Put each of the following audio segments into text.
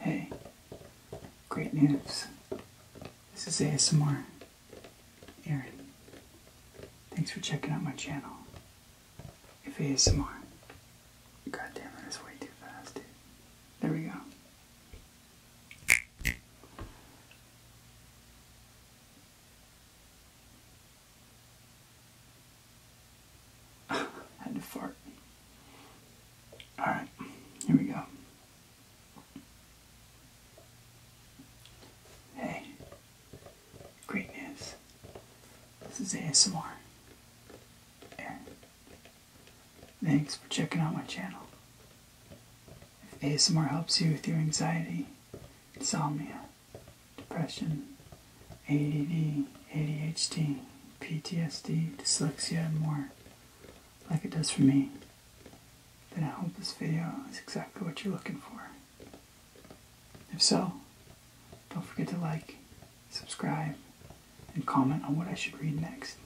Hey, great news. This is ASMR. Aaron, thanks for checking out my channel. If ASMR. God damn it, it's way too fast, There we go. I had to fart. Alright, here we go. Hey, great news. This is ASMR. thanks for checking out my channel. If ASMR helps you with your anxiety, me depression, ADD, ADHD, PTSD, dyslexia, and more, like it does for me, then I hope this video is exactly what you're looking for. If so, don't forget to like, subscribe, and comment on what I should read next,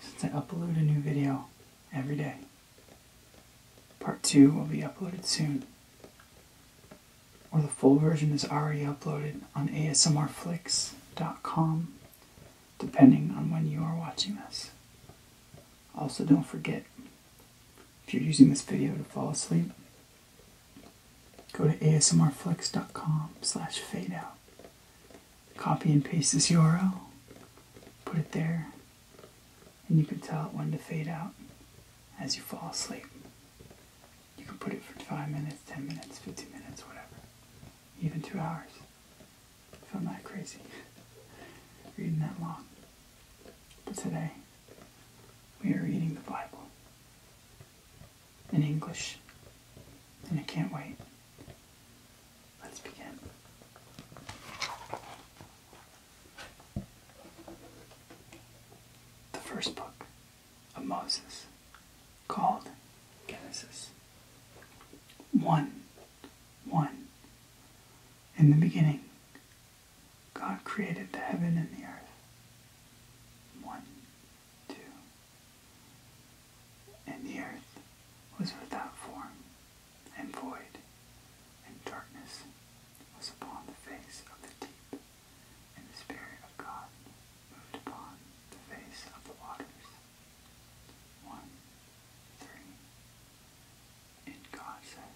since I upload a new video every day. Part 2 will be uploaded soon or the full version is already uploaded on asmrflix.com, depending on when you are watching this. Also, don't forget if you're using this video to fall asleep, go to asmrflix.com/slash fadeout. Copy and paste this URL, put it there, and you can tell it when to fade out as you fall asleep. You can put it for 5 minutes, 10 minutes, 15 minutes, whatever. Even 2 hours. Feel not crazy. Reading that long. But today, we are reading the Bible. In English. And I can't wait. Let's begin. The first book of Moses called Genesis. One, one. In the beginning, God created the heaven and the earth. One, two. And the earth was without form and void, and darkness was upon the face of the deep and the Spirit of God moved upon the face of the waters. 1. 3. And God said,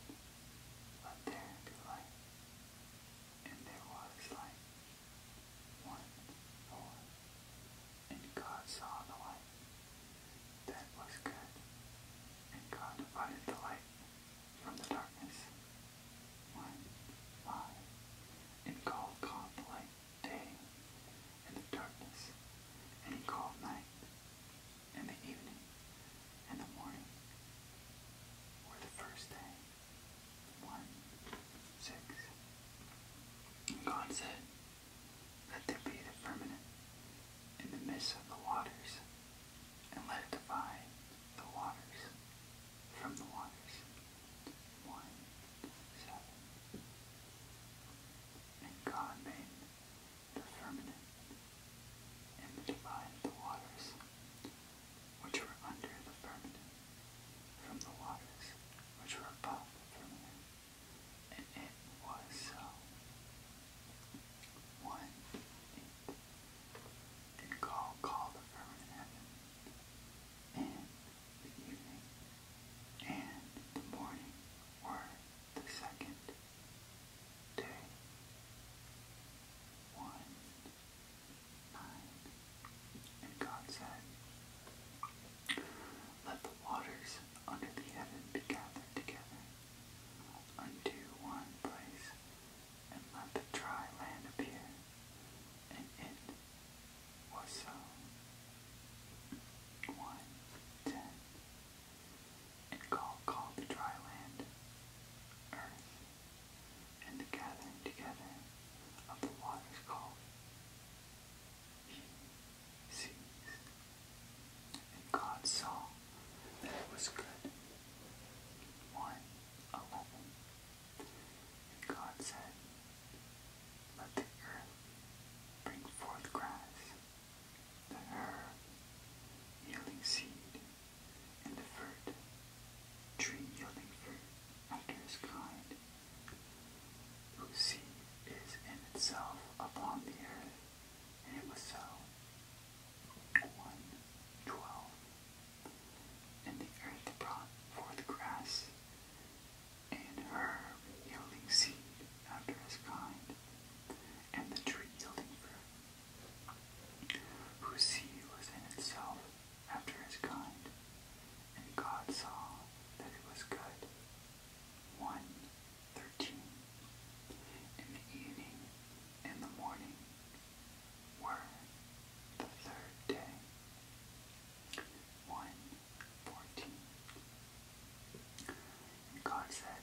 Let there be light. And there was light. 1. 4. And God saw the light. That was good. And God divided the light from the darkness one eye, and called God light day, and the darkness, and he called night, and the evening, and the morning, or the first day. One, six. And God said, Let there be the firmament in the midst of the waters, and let it divide the waters from the waters. One, seven. And God made the firmament and the divided the waters which were under the firmament from the waters which were above the firmament. And it was so. One, and call the firmament heaven, and the evening, and the morning were the second day. One, nine, and God said, Let the waters under the heaven be gathered together unto one place, and let the dry land appear. And it was so. One, ten. And God called the dry land earth, and the gathering together of the waters called seas. And God saw that it was good. One, eleven. And God said, Let the earth bring forth grass, the herb, yielding seed, and the fruit, tree yielding fruit after his kind, whose seed is in itself upon the earth. And it was so. 1 and the earth brought forth grass, and herb yielding seed after his kind, and the tree yielding fruit, whose seed was in itself after his kind, and God saw that it was good. One, thirteen. In the evening and the morning were the third day, one fourteen. And God said,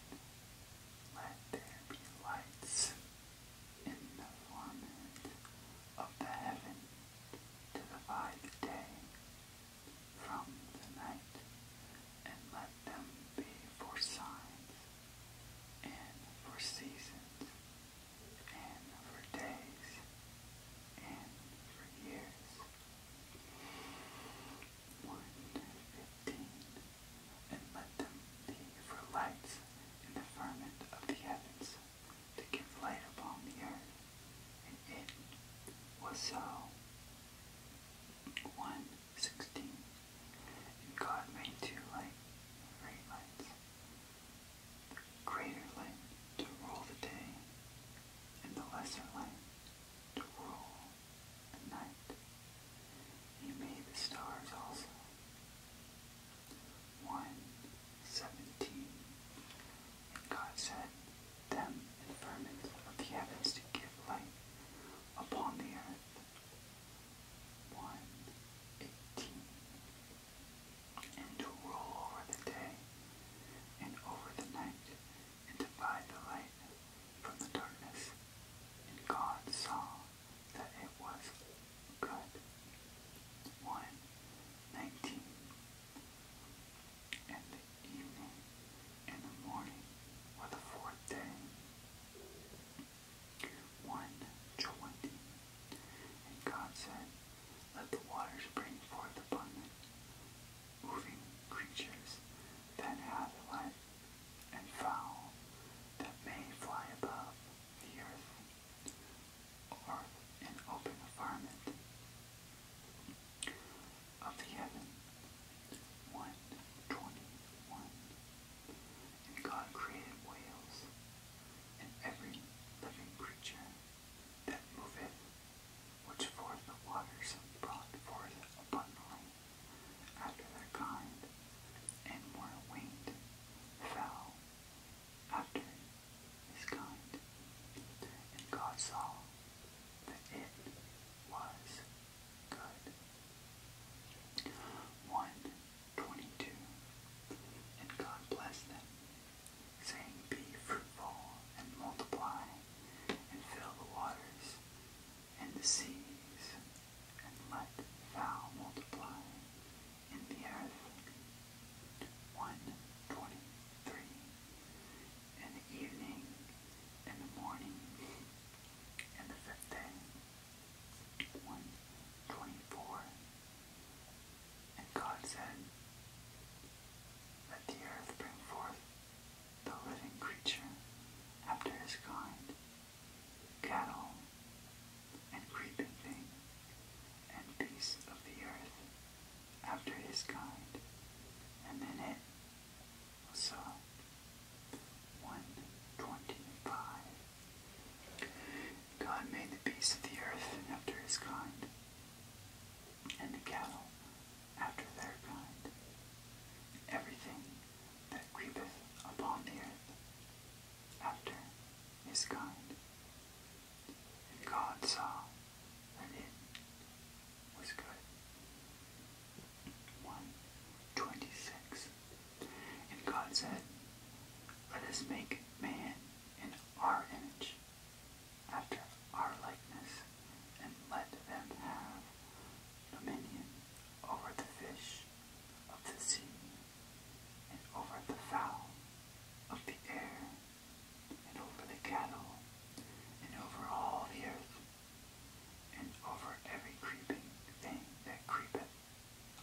Let there be lights in the firmament of the heaven to divide the day from the night, and let them be for signs and for seasons and for days and for years. 115. And let them be for lights in the firmament of the heavens, to give light upon the earth. And it was so. 116. And God made two light, great lights, the greater light to rule the day, and the lesser light to rule the night. He made the stars also. 1.17 And God said, Them and firmament of the heavens to give light upon the earth. 1.18 and to rule over the day and over the night, and divide the light from the darkness. And God saw that it was good. 1. And the evening and the morning were the fourth day. 1 And God said, Let the waters bring forth abundant, moving creatures that have life, and fowl that may fly above the earth, or an open firmament of the heaven. 121 and God created whales, and every living creature that moveth, which forth the waters brought forth abundantly after their kind, and more winged fowl after his kind. And God saw that it was good. One 22. And God blessed them, saying, Be fruitful and multiply, and fill the waters and the seas, and let fowl multiply in the earth. 123. And the evening, and the morning, and the fifth day. 1 And God said, Let the earth bring forth the living creature after his kind, cattle and creeping thing, and beasts of the earth after his kind, and then it was so. 125 God made the beasts of the earth after his kind, and the cattle after their kind, everything that creepeth upon the earth after his kind. And God saw and it was good. 126 and God said, Let us make man in our image, after our likeness, and let them have dominion over the fish of the sea, and over the fowl of the air, and over the cattle, and over all the earth, and over every creeping thing that creepeth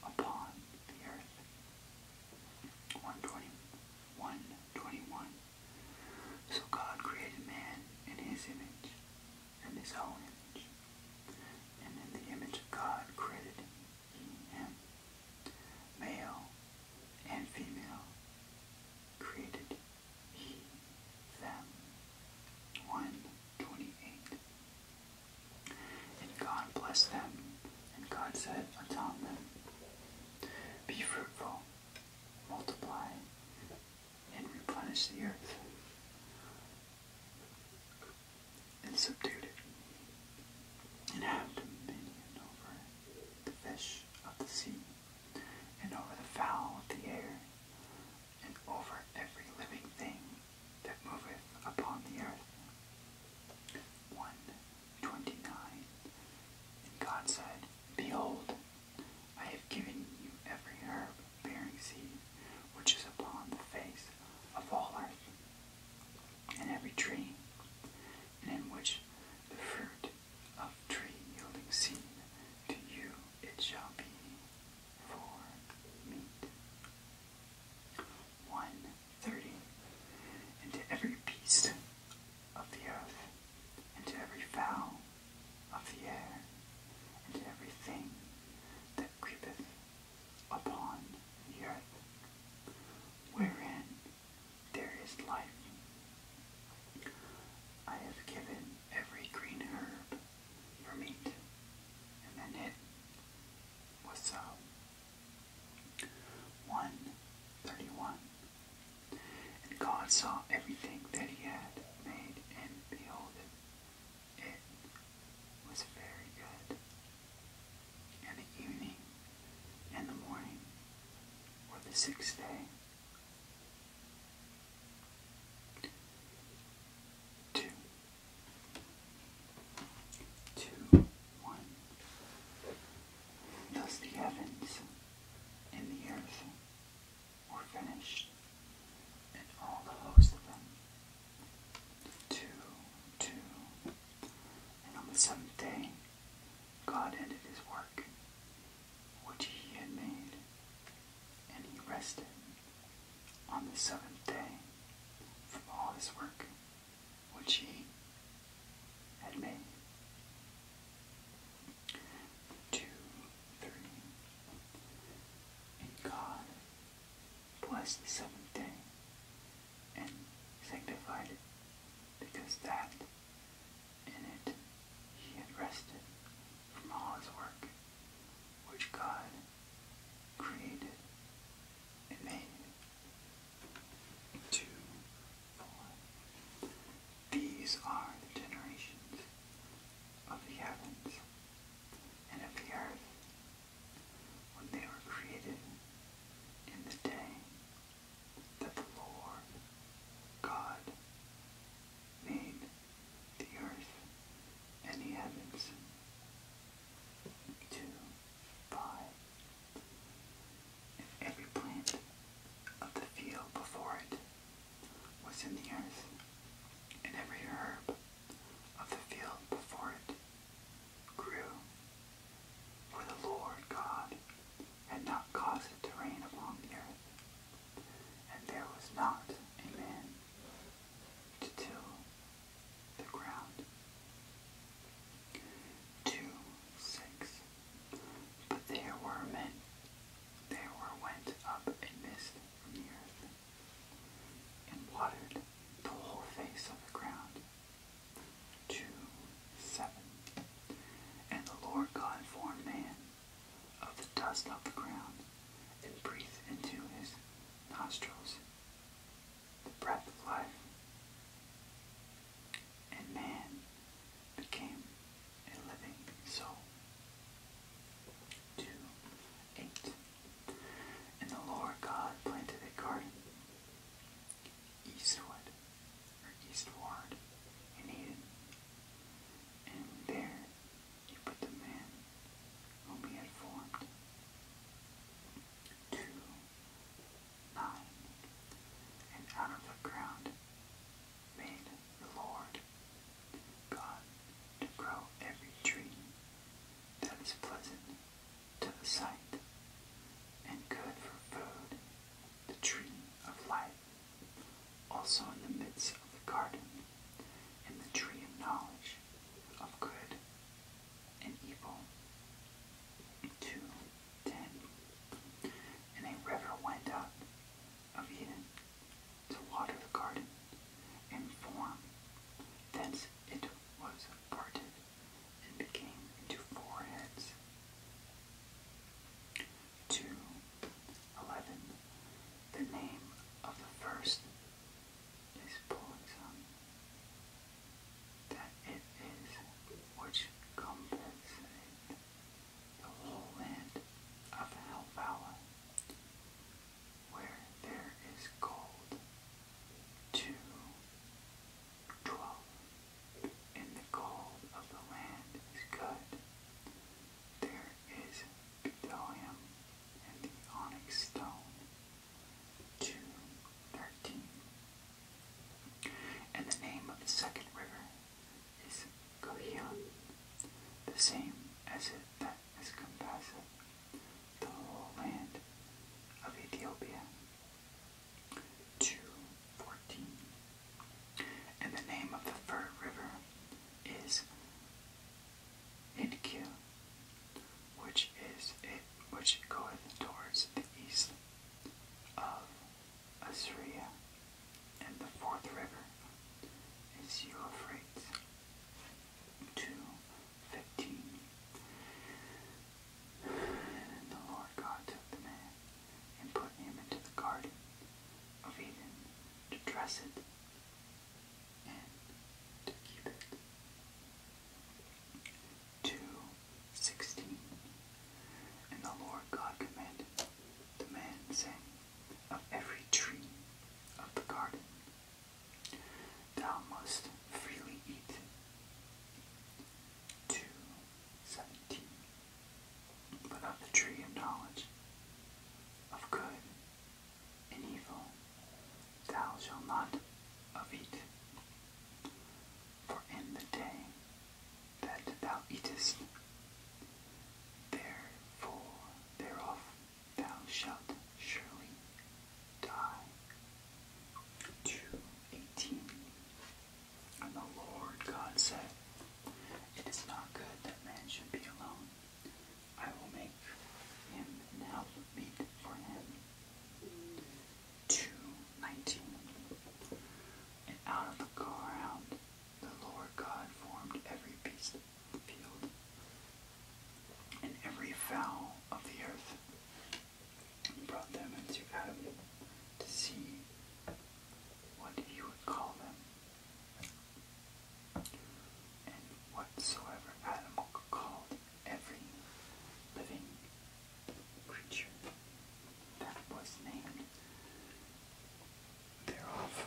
upon the earth. 120, 121. So God created man in his image, and his own image. And in the image of God created he him. Male and female created he them. 128. And God blessed them, and God said unto them, Be fruitful, multiply, and replenish the earth, and subdue it, and have dominion over the fish of the sea, and over the fowl of the air, and over every living thing that moveth upon the earth. 129. And God said, Behold, I have given you every herb bearing seed which is upon the face of all earth, and every tree, in which the fruit of tree yielding seed to you it shall be for meat. One thirty, and every beast of the earth, and every fowl of the air, and to every thing that creepeth upon the earth, wherein there is life. I have given every green herb for meat, and then knit What's up? 131. And God saw everything that he had made, and behold, it, was very good. And the evening and the morning were the sixth day. 2. Two, one. Thus the heavens and the earth were finished, and all the host of them. Two, two. And on the seventh day, God ended his work, which he had made, and he rested on the seventh day from all his work which he had made. Two, three. And God blessed the seventh day and sanctified it, because that in it he had rested from all his work, which God created and made two, These are the generations of the heavens and of the earth when they were created in the day that the Lord God made the earth and the heavens. Two, 5. And every plant of the field before it was in the earth, and every herb of the field before it grew. For the Lord God had not caused it to rain upon the earth, and there was not a man to till the ground. Two, six. But there were men, there were went up a mist from the earth, and watered the whole face of the ground. Two, seven. And the Lord God formed man of the dust of the ground, and breathed into his nostrils the breath of life. And man became a living soul. 2. 8. And the Lord God planted a garden eastward, or eastward, in Eden. And there he put the man whom he had formed. 2 nine. And out of the ground made the Lord God to grow every tree that is pleasant to the sight and good for food, the tree of life, also in the midst of the garden, and the tree of knowledge of good and evil. Two, ten. And a river went up of Eden to water the garden and form. Thence it was parted and became into four heads. Two, eleven. The name of the first is Poison that it is which compensate the whole land of Helvala, where there is gold to twelve, and the gold of the land is good. There is bdellium and the onyx stone to And the name of the second river is Coheon, the same as it that has compassed the whole land of Ethiopia. 214. And the name of the third river is Hidkil, which is it which goeth towards the east of Assyria, and the fourth river is Euphrates. Two fifteen. And the Lord God took the man and put him into the garden of Eden to dress it and to keep it. Two sixteen, And the Lord God commanded the man, saying, Of every tree of the garden thou must freely eat. 2 But of the tree of knowledge, of good and evil, Thou shalt not of it. For in the day that thou eatest, therefore thereof thou shalt surely die. 2.18 And the Lord God said, It is not good that man should be alone. I will make him an help meet for him. 2.19 And out of the ground the Lord God formed every beast of the field and every fowl of the earth and brought them into Adam to see what he would call them. And whatsoever Adam called every living creature that was named thereof.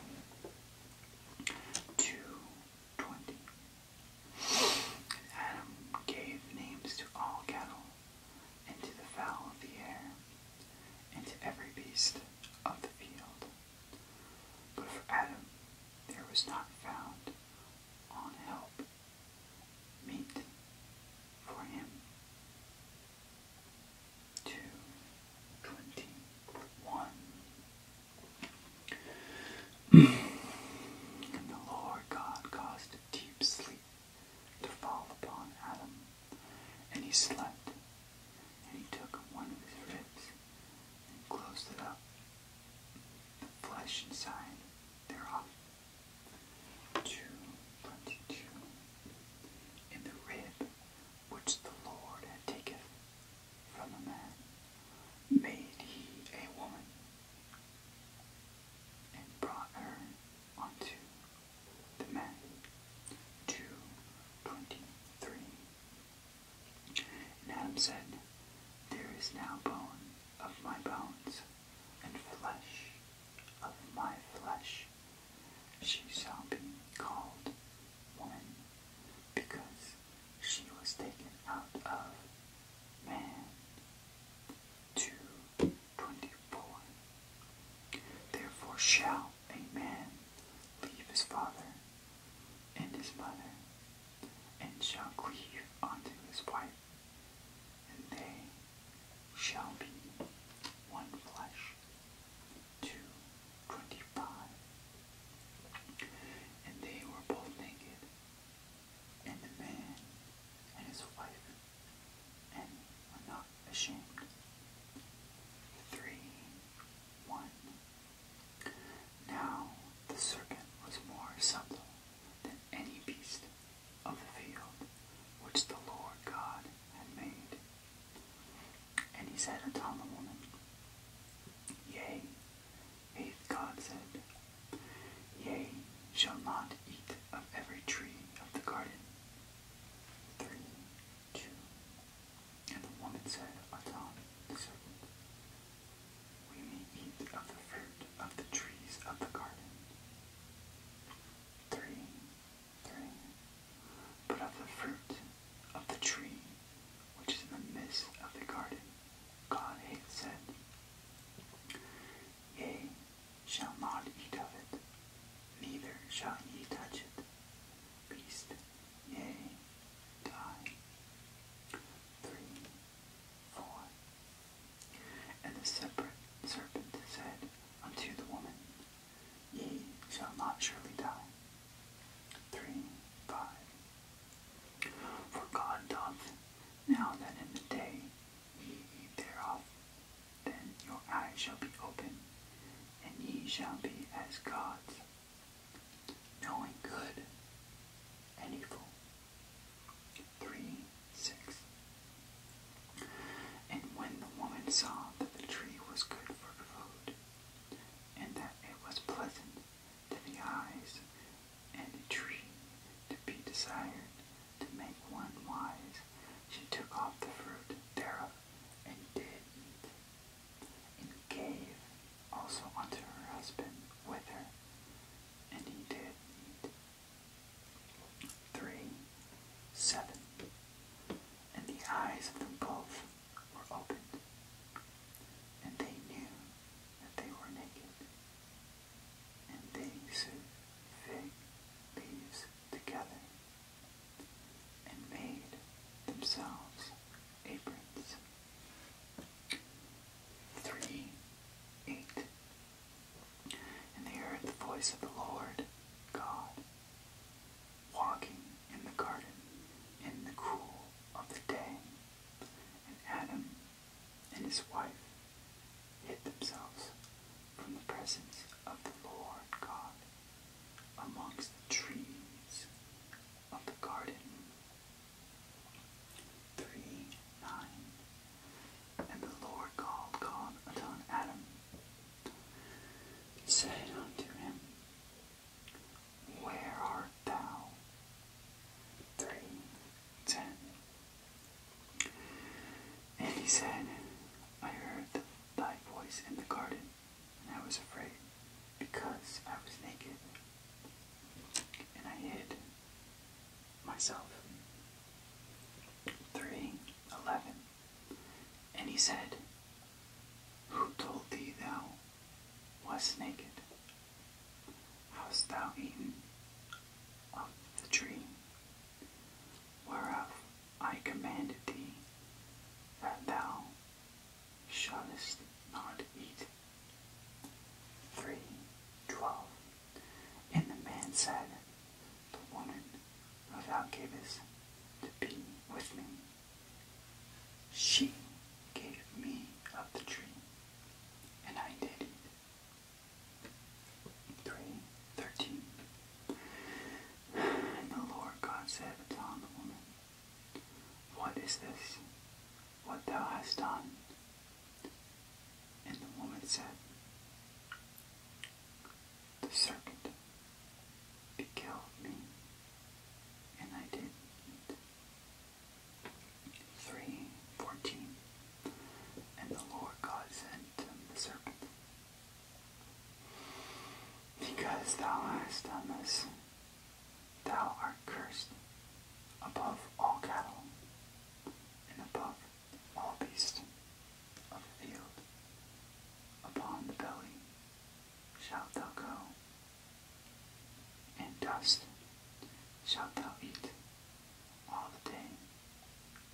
Two twenty. Adam gave names to all cattle, and to the fowl of the air, and to every beast of the field. But for Adam there was not found on help meant for him. Two twenty one. and the Lord God caused deep sleep to fall upon Adam, and he slept, and he took one of his ribs and closed it up. The flesh inside thereof. 222 In the rib which the Lord had taken from a man, made he a woman, and brought her unto the man. 223 And Adam said, There is now bone of my bones and flesh of my flesh. She shall be called woman, because she was taken out of man. 2.24 Therefore shall a man leave his father and his mother, and shall cleave unto his wife, and they shall be one flesh. 225. And they were both naked, and the man and his wife, and were not ashamed. 3 1. Now the serpent was more subtle than any beast of the field which the Lord God had made. And he said unto the woman, Yea, hath God said, Yea, shall not eat of every tree of the garden. 3, 2. And the woman said unto the serpent, we may eat of the fruit of the trees of the garden. 3. 3. But of the fruit of the tree which is in the midst of the garden, God hath said, Yea, shall not eat of it, neither shall ye touch it, beast, yea, die. 3 four. And the serpent said unto the woman, Ye shall not surely die. Three, five. For God doth now that in the day ye thereof, then your eyes shall be opened, and ye shall be as gods, knowing good and evil. 3 6. And when the woman saw that the tree was good for food, and that it was pleasant to the eyes, and the tree to be desired to make one wise, she took off the fruit thereof and did eat, and gave also unto her husband with her, and he did eat three, seven, and the eyes of them both were opened, and they knew that they were naked, and they sewed fig leaves together, and made themselves aprons. Three, eight, and they heard the voice of the Lord God walking in the garden in the cool of the day. And Adam and his wife hid themselves from the presence of the Lord God amongst the trees of the garden. 3 9 and the Lord called God upon Adam and unto him, Where art thou? Three ten. And he said, I heard thy voice in the garden, and I was afraid, because I was naked, and I hid myself. Three, eleven, And he said, Who told thee thou wast naked? Hast thou eaten of the tree whereof I commanded thee that thou shouldest not eat? Three, twelve. And the man said, The woman who thou gavest to be with me, she gave me of the tree, and I did it." 3.13 And the Lord God said unto the woman, What is this, what thou hast done? And the woman said, The serpent beguiled me, and I did 3.14 And the Lord God said to the serpent, Because thou hast done this, thou art cursed above all cattle, and above beast of the field, upon the belly shalt thou go, and dust shalt thou eat all the day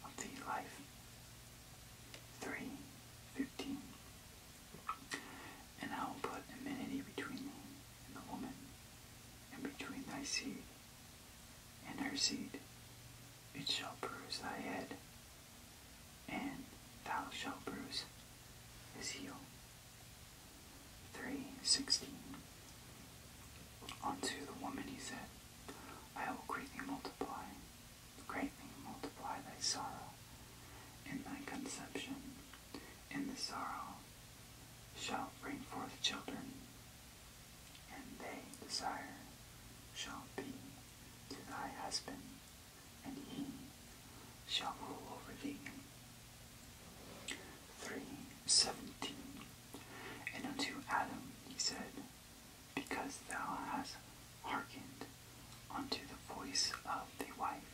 of thy life. 3.15 And I will put enmity between thee and the woman, and between thy seed and her seed. It shall bruise thy head, and thou shalt bruise his heel. 3.16 Unto the woman he said, I will greatly multiply, greatly multiply thy sorrow in thy conception. In the sorrow shall bring forth children and they desire shall be to thy husband, and he shall rule over thee. 317. And unto Adam he said, Because thou hast hearkened unto the voice of the wife,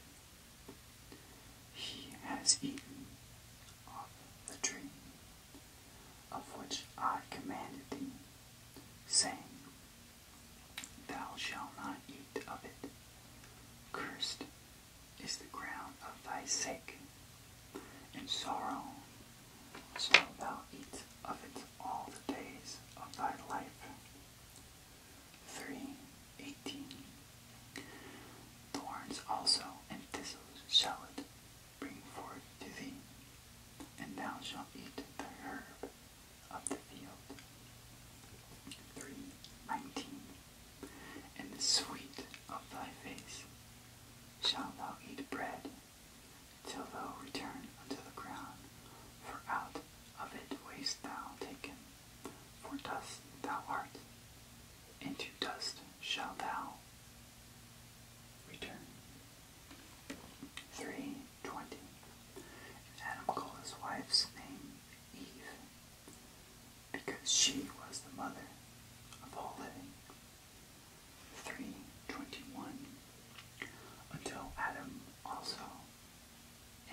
he has eaten of the tree of which I commanded thee, saying, Thou shalt not eat of it. Cursed is the ground of thy sake, and sorrow shalt thou eat of it all the days of thy life. 3.18 Thorns also and thistles shall it bring forth to thee, and thou shalt eat the herb of the field. 3.19 And the sweet of thy face shalt thou eat bread, till thou return unto the ground, for out of it wast thou taken, for dust thou art, into dust shalt thou Return. 320. Adam called his wife's name Eve, because she was the mother of all living. 321. Until Adam also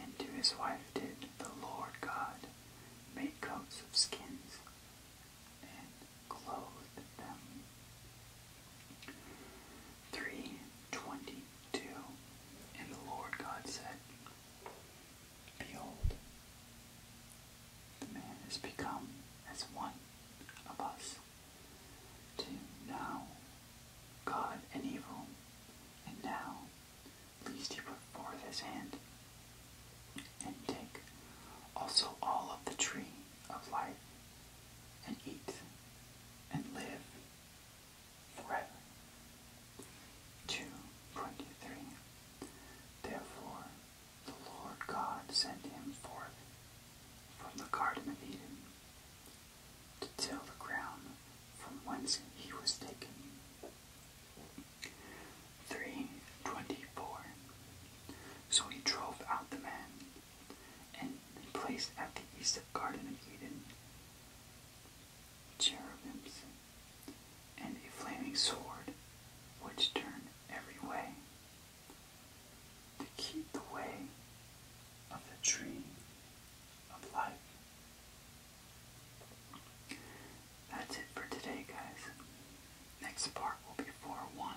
and to his wife did the Lord God make coats of skins and clothed them. 322 And the Lord God said, Behold, the man has become as one of us, to now God and evil, and now least he put forth his hand and take also all of the tree of life, and eat and live forever. 2.23 Therefore the Lord God sent him forth from the Garden of Eden to till the ground from whence he was taken. 324. So he drove out the man and placed at the east of the Garden of Eden cherubims and a flaming sword which turned every way to keep the way of the tree of life. That's it for today, guys. Next part will be 4-1.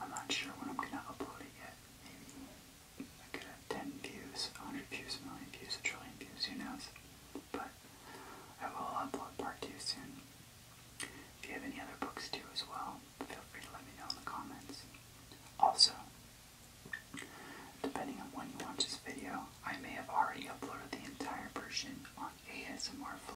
I'm not sure when I'm gonna upload it yet. Maybe I could have 10 views, 100 views, million views, a trillion views, who knows. But I will upload part 2 soon. If you have any other books too as well, feel free to let me know in the comments. Also, depending on when you watch this video, I may have already uploaded the entire version on ASMR